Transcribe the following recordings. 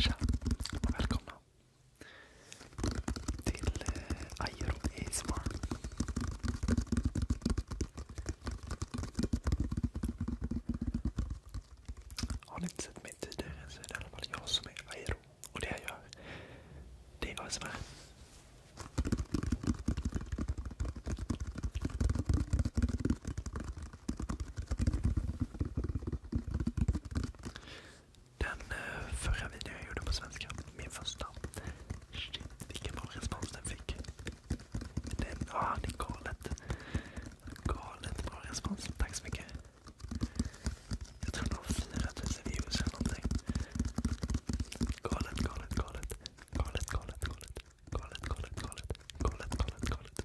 Tja och välkomna till eh, Airo ASMR. Har ni inte sett mig tidigare så är det i alla fall jag som är Airo. Och det jag gör, det är ASMR. Den eh, förra videon jag gjorde på svenska, min första. Shit, vilken bra respons den fick. det är galet. Galet bra respons. Tack så mycket. Jag tror det var 4000 views eller någonting. Galet, galet, galet. Galet, galet, galet. Galet, galet, galet. Galet, galet, galet.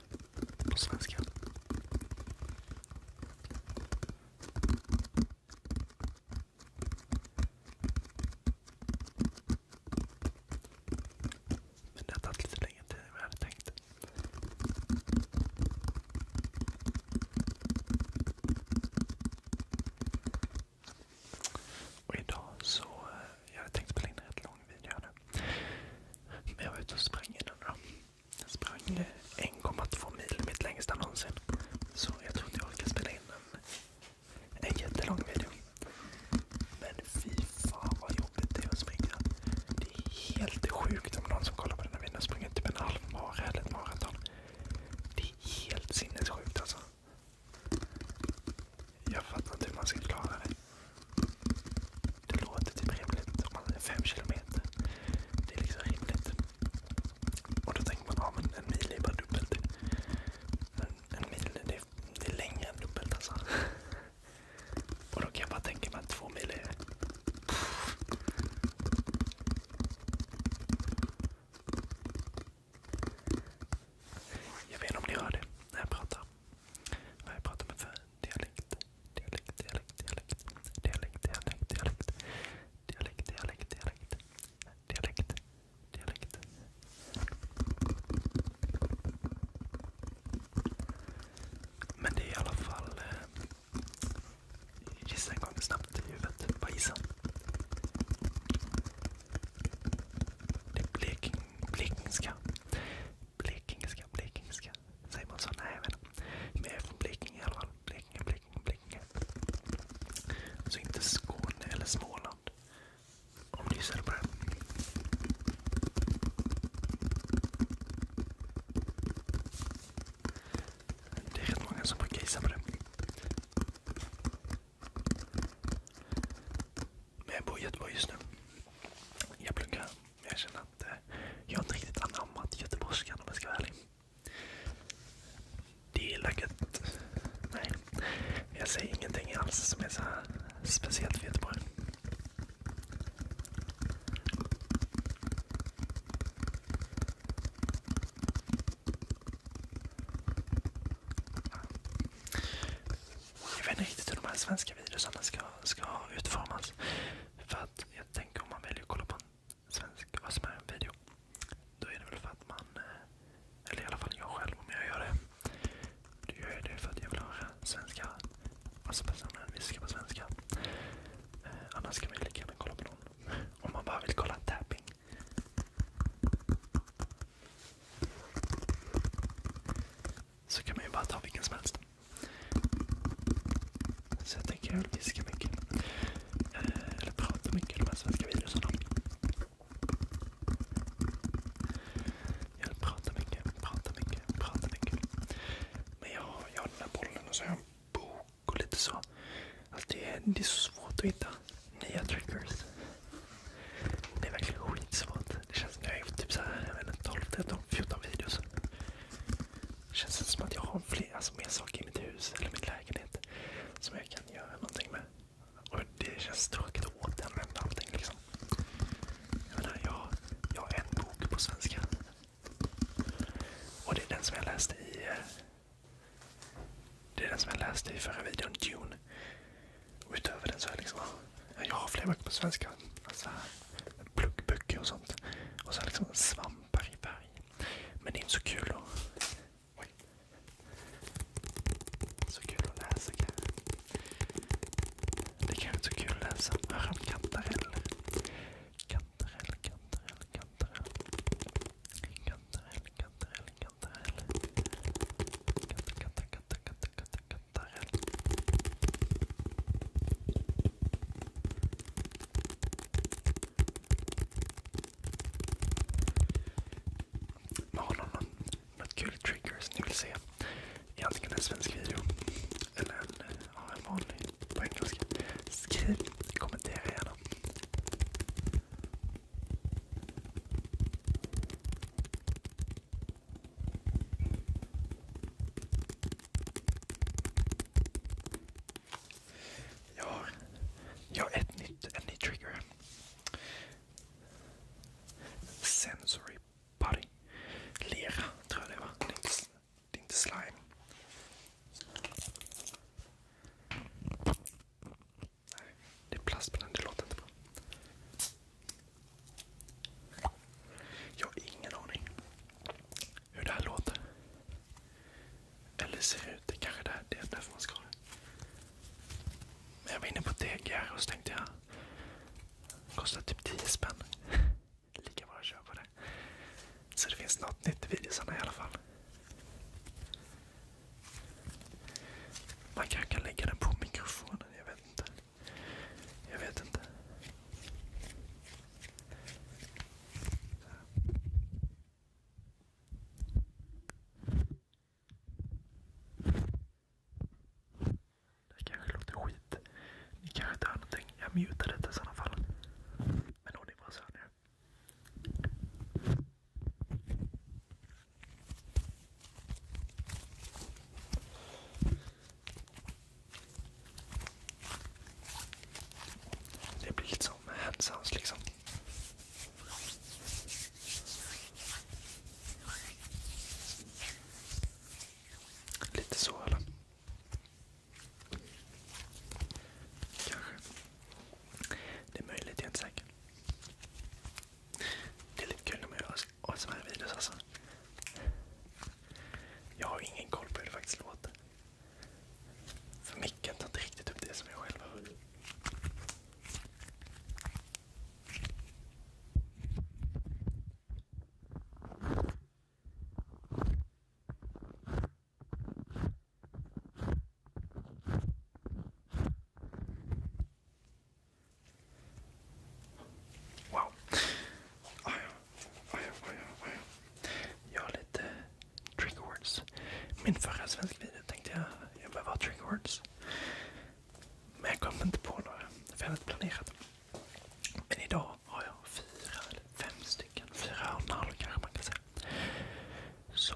på svenska. Men det har tagit lite längre tid än jag hade tänkt. Och idag så, eh, jag hade tänkt spela in en rätt lång video här nu. Men jag var ute och sprang innan då. Jag sprang 1,2 mil, mitt längsta någonsin. Så jag tror inte jag orkar spela in en, en jättelång video. Men fy fan vad jobbigt det är att springa. Det är helt sjukt om någon som kollar på den här springer typ en halvmara eller ett maraton. Det är helt sinnessjukt alltså. Jag fattar inte hur man ska klara det. Det låter typ rimligt. Om man är fem kilometer. Det är liksom rimligt. Och då tänker man, ja men en mil är bara dubbelt. Men en mil, det är, det är längre än dubbelt alltså. Och då kan jag bara tänka mig att två mil är... Jag vet inte om ni hör det när jag pratar. Vad jag pratar med för dialekt? Dialekt, dialekt, dialekt. Dialekt, dialekt, dialekt. Dialekt, dialekt, dialekt. Dialekt, dialekt. Men det är i alla fall... Eh, gissa en gång snabbt i huvudet. Bara gissa. Det är bleking, blekingska. Blekingska, blekingska, Säger man så? Nej, men de är från Blekinge i alla fall. Blekinge, Blekinge, Blekinge. Alltså inte Skåne eller Småland. Om du gissade på det. Det är rätt många som brukar gissa på det. Men jag bor i Göteborg just nu. Jag pluggar jag känner att eh, jag inte riktigt anammat göteborgskan om jag ska vara ärlig. Det är laget. Nej, jag säger ingenting alls som är så här speciellt för Göteborg. Jag vet inte riktigt hur de här svenska videorna ska, ska utformas. För att jag tänker om man väljer att kolla på en svensk vad som är en video. Då är det väl för att man, eh, eller i alla fall jag själv om jag gör det. Då gör jag det för att jag vill höra svenska. Alltså personen viskar på svenska. Eh, annars kan man ju lika gärna kolla på någon. Om man bara vill kolla tapping så kan man ju bara ta vilken som helst. Så jag tänker jag viska mycket. Eh, eller prata mycket om de här svenska videorna. Jag vill prata mycket, prata mycket, prata mycket. Men jag, har den här bollen och så har jag en bok och lite så. Alltså det, är, det är så svårt att hitta nya trackers. Det är verkligen skitsvårt. Det känns som jag har gjort typ såhär jag vet inte, 12, 13, 14 videos. Det känns inte som att jag har flera alltså, mer saker i mitt hus eller min lägenhet som jag kan göra någonting med. Och Det känns tråkigt att återanvända allting. Liksom. Jag, menar, jag, jag har en bok på svenska. Och det är den som jag läste i eh, det är den som jag läste i förra videon, Dune. Och utöver den så är liksom, jag har flera böcker på svenska. Alltså, Pluggböcker och sånt. Och så liksom svampar i berg. Men det är inte så kul då. att läsa Det kanske inte är så kul att läsa. har vi kantarell. Kantarell, kantarell, kantarell. Kantarell, kantarell, kantarell, kantarell. Kantar, kantar, kantar, kantar, kantar, kantarell. Har någon något kul trigger som ni vill se? I antingen en svensk video eller en, ja, en vanlig på engelska. Skriv, kommentera gärna. Ja, ja ett nytt, en ny trigger. Sensory body. Lera tror jag det var. Det är inte, det är inte slime. Nej, det är plast på den. Det låter inte bra. Jag har ingen aning hur det här låter. Eller ser ut. Det kanske är det är därför man ska ha det. Men jag var inne på TGR och så tänkte jag. Kostar typ 10 spänn. Lika bra att köpa det. Så det finns något nytt i videosarna i alla fall. Man kanske kan lägga den på mikrofonen. Jag vet inte. Jag vet inte. Det kanske låter skit. Ni kanske inte hör någonting. Jag mutar detta i sådana fall. Men hon är bara så nu. Det blir lite som handsans liksom. Lite så eller? Kanske. Det är möjligt, jag är inte säker. Det är lite kul när man gör ASMR-videos alltså. Jag har ingen koll på hur det faktiskt låter. För micken tar inte riktigt upp det som jag själv hör. Wow. Aja, aja, aja, Jag har lite trigger Min förra svenska video tänkte jag jag behöver ha trigger words. Men jag kom inte på några. För jag hade planerat. Men idag har jag fyra eller fem stycken. Fyra och en halv kanske man kan säga. Så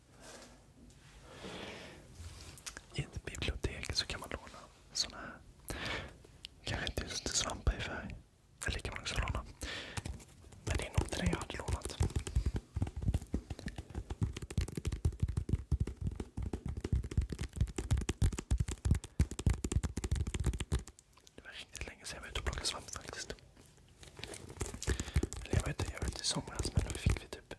I ett bibliotek så kan man låna sådana här. Kanske inte just svampa i färg. Men det är nog det jag hade lånat. Det var riktigt länge sedan jag var ute och plockade svamp faktiskt. Eller jag var ute i somras men då fick vi typ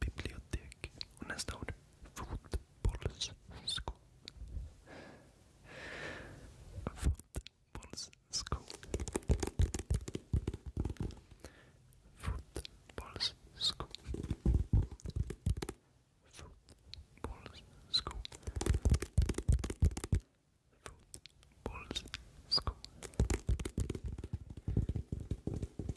bibliotek. Och nästa ord fotbollssko. Fotbollssko. Fotbollssko. Fotbollssko. Fotbollssko.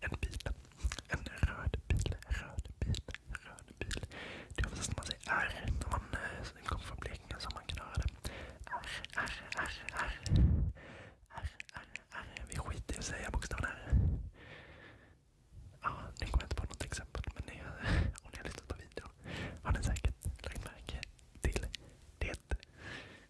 En bil. En röd bil. Röd bil. Röd bil. Det är oftast man säger R när man eh, kommer från Blekinge så man kan höra det. R, R, R, Vi skiter i att säga bokstaven R. Ja, nu kommer jag inte på något exempel. Men om ni har lyssnat på videon har ni säkert lagt märke till det.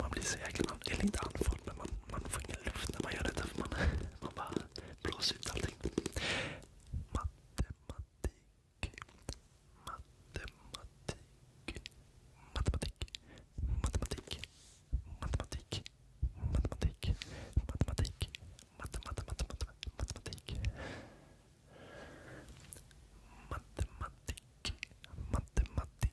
Man blir så jäkla, eller inte andfådd, men man, man får ingen luft när man gör detta. För man, man bara blåser ut allting. Matematik. Matematik. Matematik. Matematik. Matematik. Matematik. Matematik. Matematik. Matematik. Matematik. Matematik.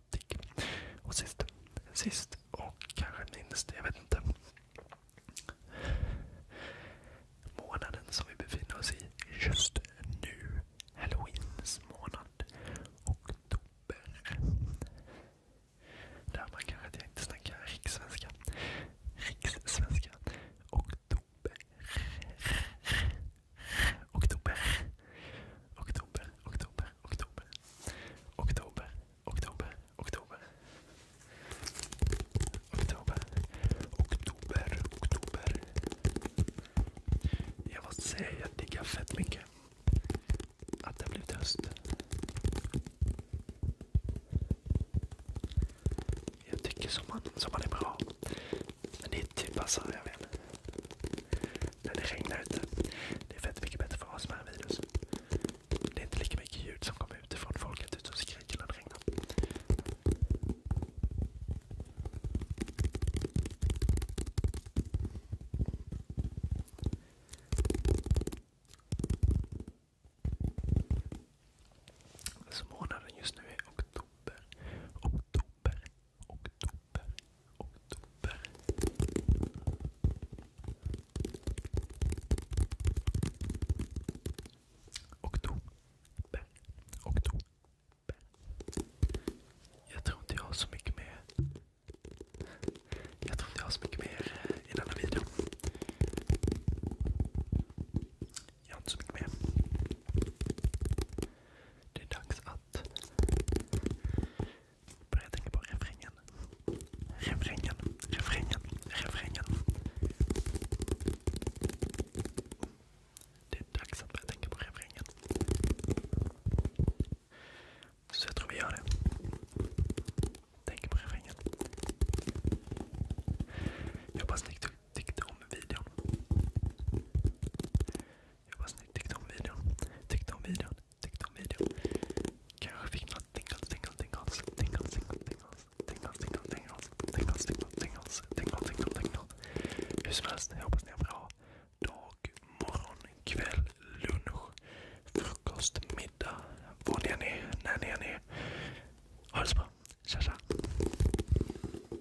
problematik. Och sist, sist och kanske minst, jag vet inte. Månaden som vi befinner oss i just nu. Halloweens månad. Oktober. Där kanske jag inte snackar rikssvenska. Rikssvenska. Oktober. Oktober. Oktober. Oktober oktober, oktober, oktober, oktober. Oktober, oktober, oktober. Jag måste säga jag diggar fett mycket. Att det blivit höst. Jag tycker sommaren, sommaren är bra. Men det är typ bara så jag vet när det regnar ute. Det är fett mycket bättre för oss med virus. Det är inte lika mycket ljud som kommer utifrån folket ute och skriker när det regnar. Så månaden just nu är oktober. Oktober oktober, oktober. Jag tror inte jag har så mycket mer. Jag tror inte jag har så mycket mer eh, i denna video. Jag har inte så mycket mer. Det är dags att Prettige på refrängen. Refrängen, refrängen, refrängen. Det är dags att börja tänka på refrängen. ik jag tror vi gör det. Tänk på Ik Jag hoppas ni tyckte om video. Jag hoppas ni tyckte om videon. Tyckte om videon. Tyckte om videon. Kanske fick några tingles, tingles, tingles. Tingles, tingles, tingles. Tingles, tingles, tingles. Tingles, tingles, tingles. Hur som helst, jag hoppas ni har bra dag, morgon, kväll, lunch, frukost, middag. Var ni än är, när ni än är. Ha det så bra. Tja, tja.